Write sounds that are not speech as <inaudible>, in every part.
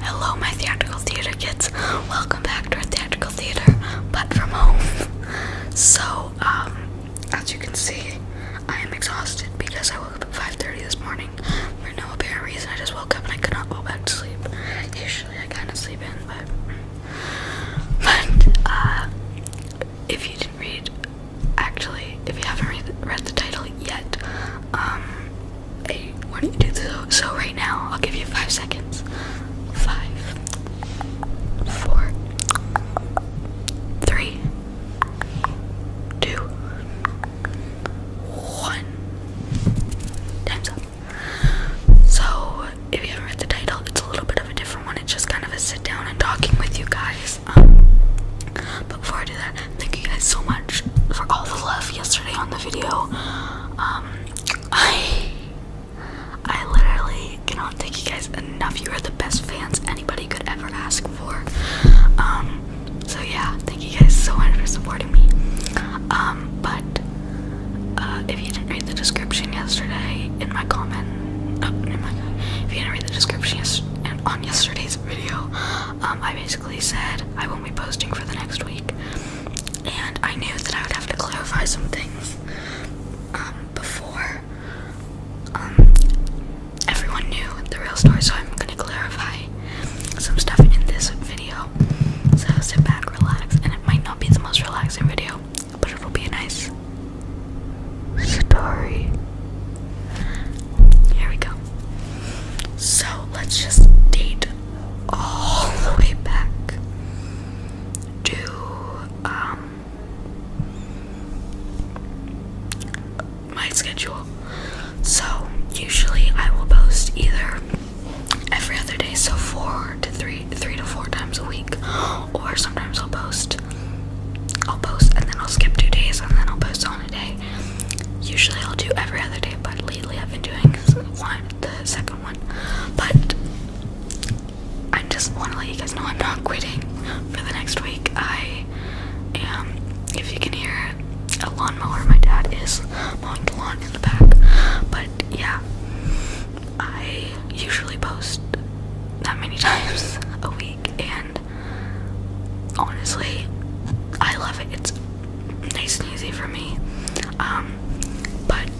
Hello, my theatrical theater kids. Welcome back to our theatrical theater, but from home. So, um, as you can see, I am exhausted because I woke up at 5:30 this morning for no apparent reason. I just woke up and I could not go back to sleep. Usually, I kind of sleep in, but uh, if you didn't read, actually, if you haven't read, the title yet, um, Hey, why don't you do so, so right now? I'll give you five seconds. Five, four, three, two, one. Time's up. So, if you have read the title, it's a little bit of a different one. It's just kind of a sit down and talking with you guys. Um, before I do that, Thank you guys so much for all the love yesterday on the video. Um, I I literally you know, thank you guys enough. You are the best fans anybody could ever ask for. Um, so yeah, thank you guys so much for supporting me. Um, but uh, if you didn't read the description yesterday in my comment, oh, in my, if you didn't read the description yes, on yesterday's video, um, I basically said I won't be posting for the next week, and I knew that I would have to clarify some things um, before um, everyone knew the real story, so I'm gonna clarify some stuff in this video. So sit back, relax, and it might not be the most relaxing video, but it'll be a nice story. Here we go. So let's just date all the way back to um my schedule. So usually I will post either every other day, so four to three three to four times a week. Or sometimes I'll post I'll post and then I'll skip two days and then I'll post on a day Usually I'll do every other day, but lately I've been doing one, the second one. But I just want to let you guys know I'm not quitting for the next week. I am, if you can hear a lawnmower, my dad is mowing the lawn in the back. But yeah, I usually post that many <laughs> times a week, and honestly, I love it. It's nice and easy for me. Um, but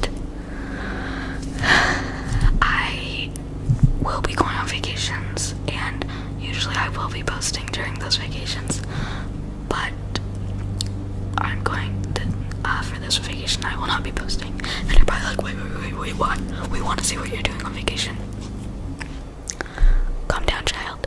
I will be going on vacations, and usually I will be posting during those vacations. But I'm going to, uh, for this vacation, I will not be posting. And you're probably like, wait, wait, wait, wait, what? We want to see what you're doing on vacation. Calm down, child.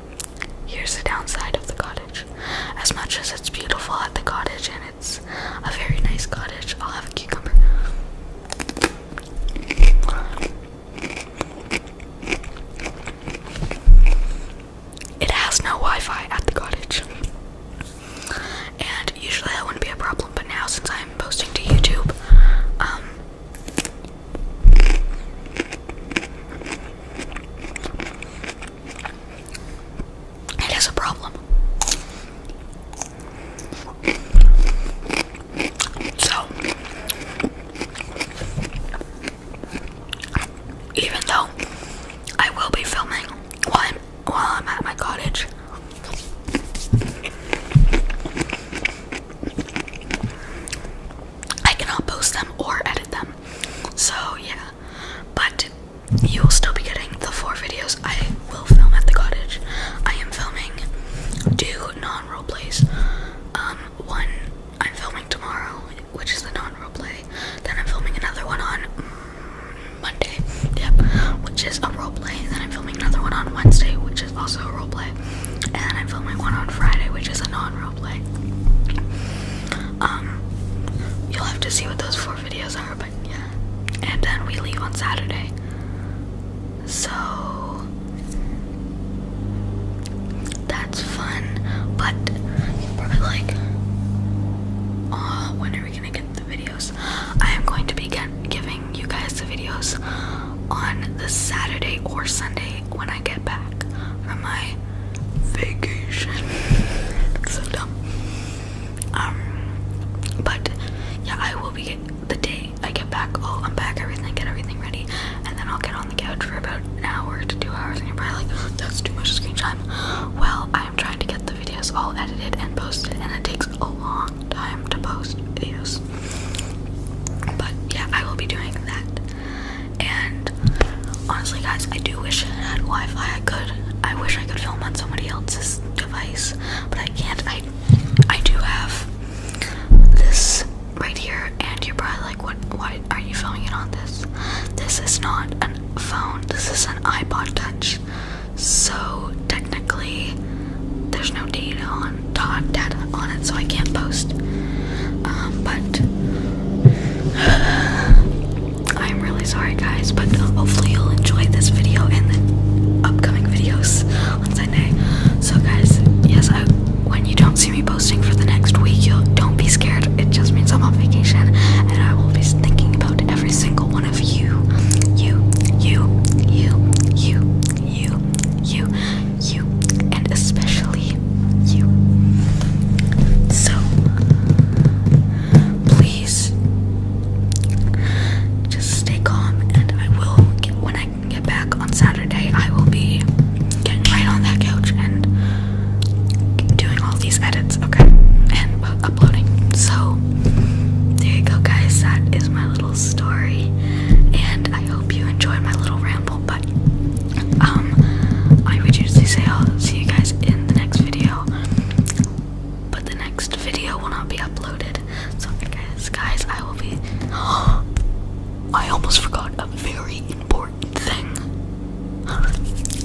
Here's the downside of the cottage. As much as it's beautiful at the cottage and it's a very nice cottage, I'll have a cucumber. It has no Wi Fi at the cottage. And usually that wouldn't be a problem, but now since I'm posting to YouTube, um, it is a problem. So, even though I will be filming while I'm, at my cottage, I cannot post them or edit them. So yeah, but you will still be getting the four videos I will film at the cottage. I am filming two non-role plays. Um, one I'm filming tomorrow, which is the non-role play. Then I'm filming another one on Monday, yep, which is a role play. Then I'm filming another one on Wednesday, which is also a role play. And then I'm filming one on Friday, which is a non-role play. Um, you'll have to see what those four videos are, but yeah. And then we leave on Saturday. So that's fun, but probably like, uh, when are we gonna get the videos? I am going to be giving you guys the videos on the Saturday or Sunday when I get back from my vacation. <laughs> so dumb. Um, but yeah, I will be the day I get back. I'll unpack everything, get everything ready, and then I'll get on the couch for about an hour to two hours. And you're probably like, that's too much screen time. Well, I am trying to get the videos all edited and posted, and it takes a long time to post videos. But yeah, I will be doing that. And honestly, guys, I do wish I had Wi-Fi. I could. I wish I could film on somebody else's device, but I can't. I I do have this right here, and you're probably like, "What? Why are you filming it on this?" This is not a phone. This is an iPod Touch. So technically, there's no data on data on it, so I can't post. Um, but <sighs> I'm really sorry, guys. But uh, hopefully, you'll enjoy this video and the upcoming videos on Sunday. So, guys, yes, I, when you don't see me posting for the next week, you don't be scared. It just means I'm on vacation, and I will be thinking about every single one of you, you, you, you, you, you, you, you, and especially you. So, please just stay calm, and I will. when I can get back on Saturday, I will be getting right on that couch and doing all these edits, okay, and uploading. So, there you go, guys. That is my little story, and I hope you enjoyed my little ramble but um, I would usually say I'll see you guys in the next video, but the next video will not be uploaded. So, I guys, I will be. <gasps> I almost forgot a very important thing.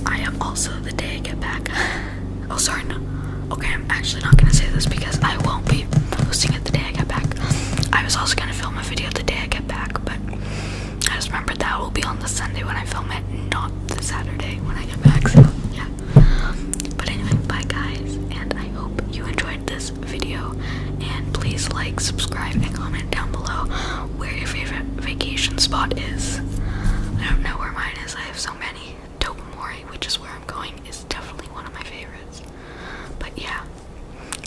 I am also the day I get back. <laughs> Oh, sorry, no. Okay, I'm actually not gonna say this because I won't be posting it the day I get back. I was also gonna film a video the day I get back, but I just remembered that will be on the Sunday when I film it, not the Saturday when I get back. So yeah. But anyway, bye guys, and I hope you enjoyed this video. And please like, subscribe, and comment down below where your favorite vacation spot is. I don't know where mine is. I have so many. Tobermory, which is where I'm going, is definitely one of my favorites. But yeah,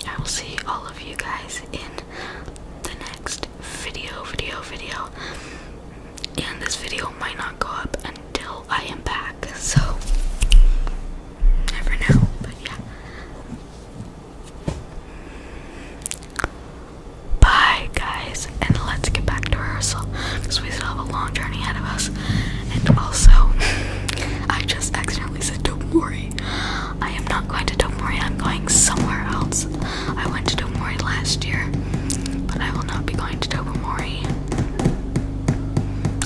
I will see all of you guys in the next video, video, video. And this video might not go up until I am back, so never know, but yeah. Bye, guys, and let's get back to rehearsal because we still have a long journey ahead of us. And also, <laughs> I just accidentally said, Don't worry. I am not going to Domori, I'm going somewhere else. I went to Domori last year, but I will not be going to Domori.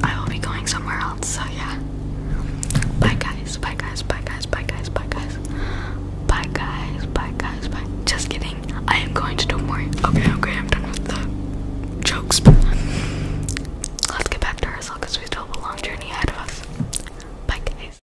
I will be going somewhere else, so yeah. Bye guys, bye guys, bye guys, bye guys, bye guys. Bye guys, bye guys, bye. Just kidding. I am going to Domori. Okay, okay, I'm done with the jokes. Let's get back to ourselves because we still have a long journey ahead of us. Bye guys.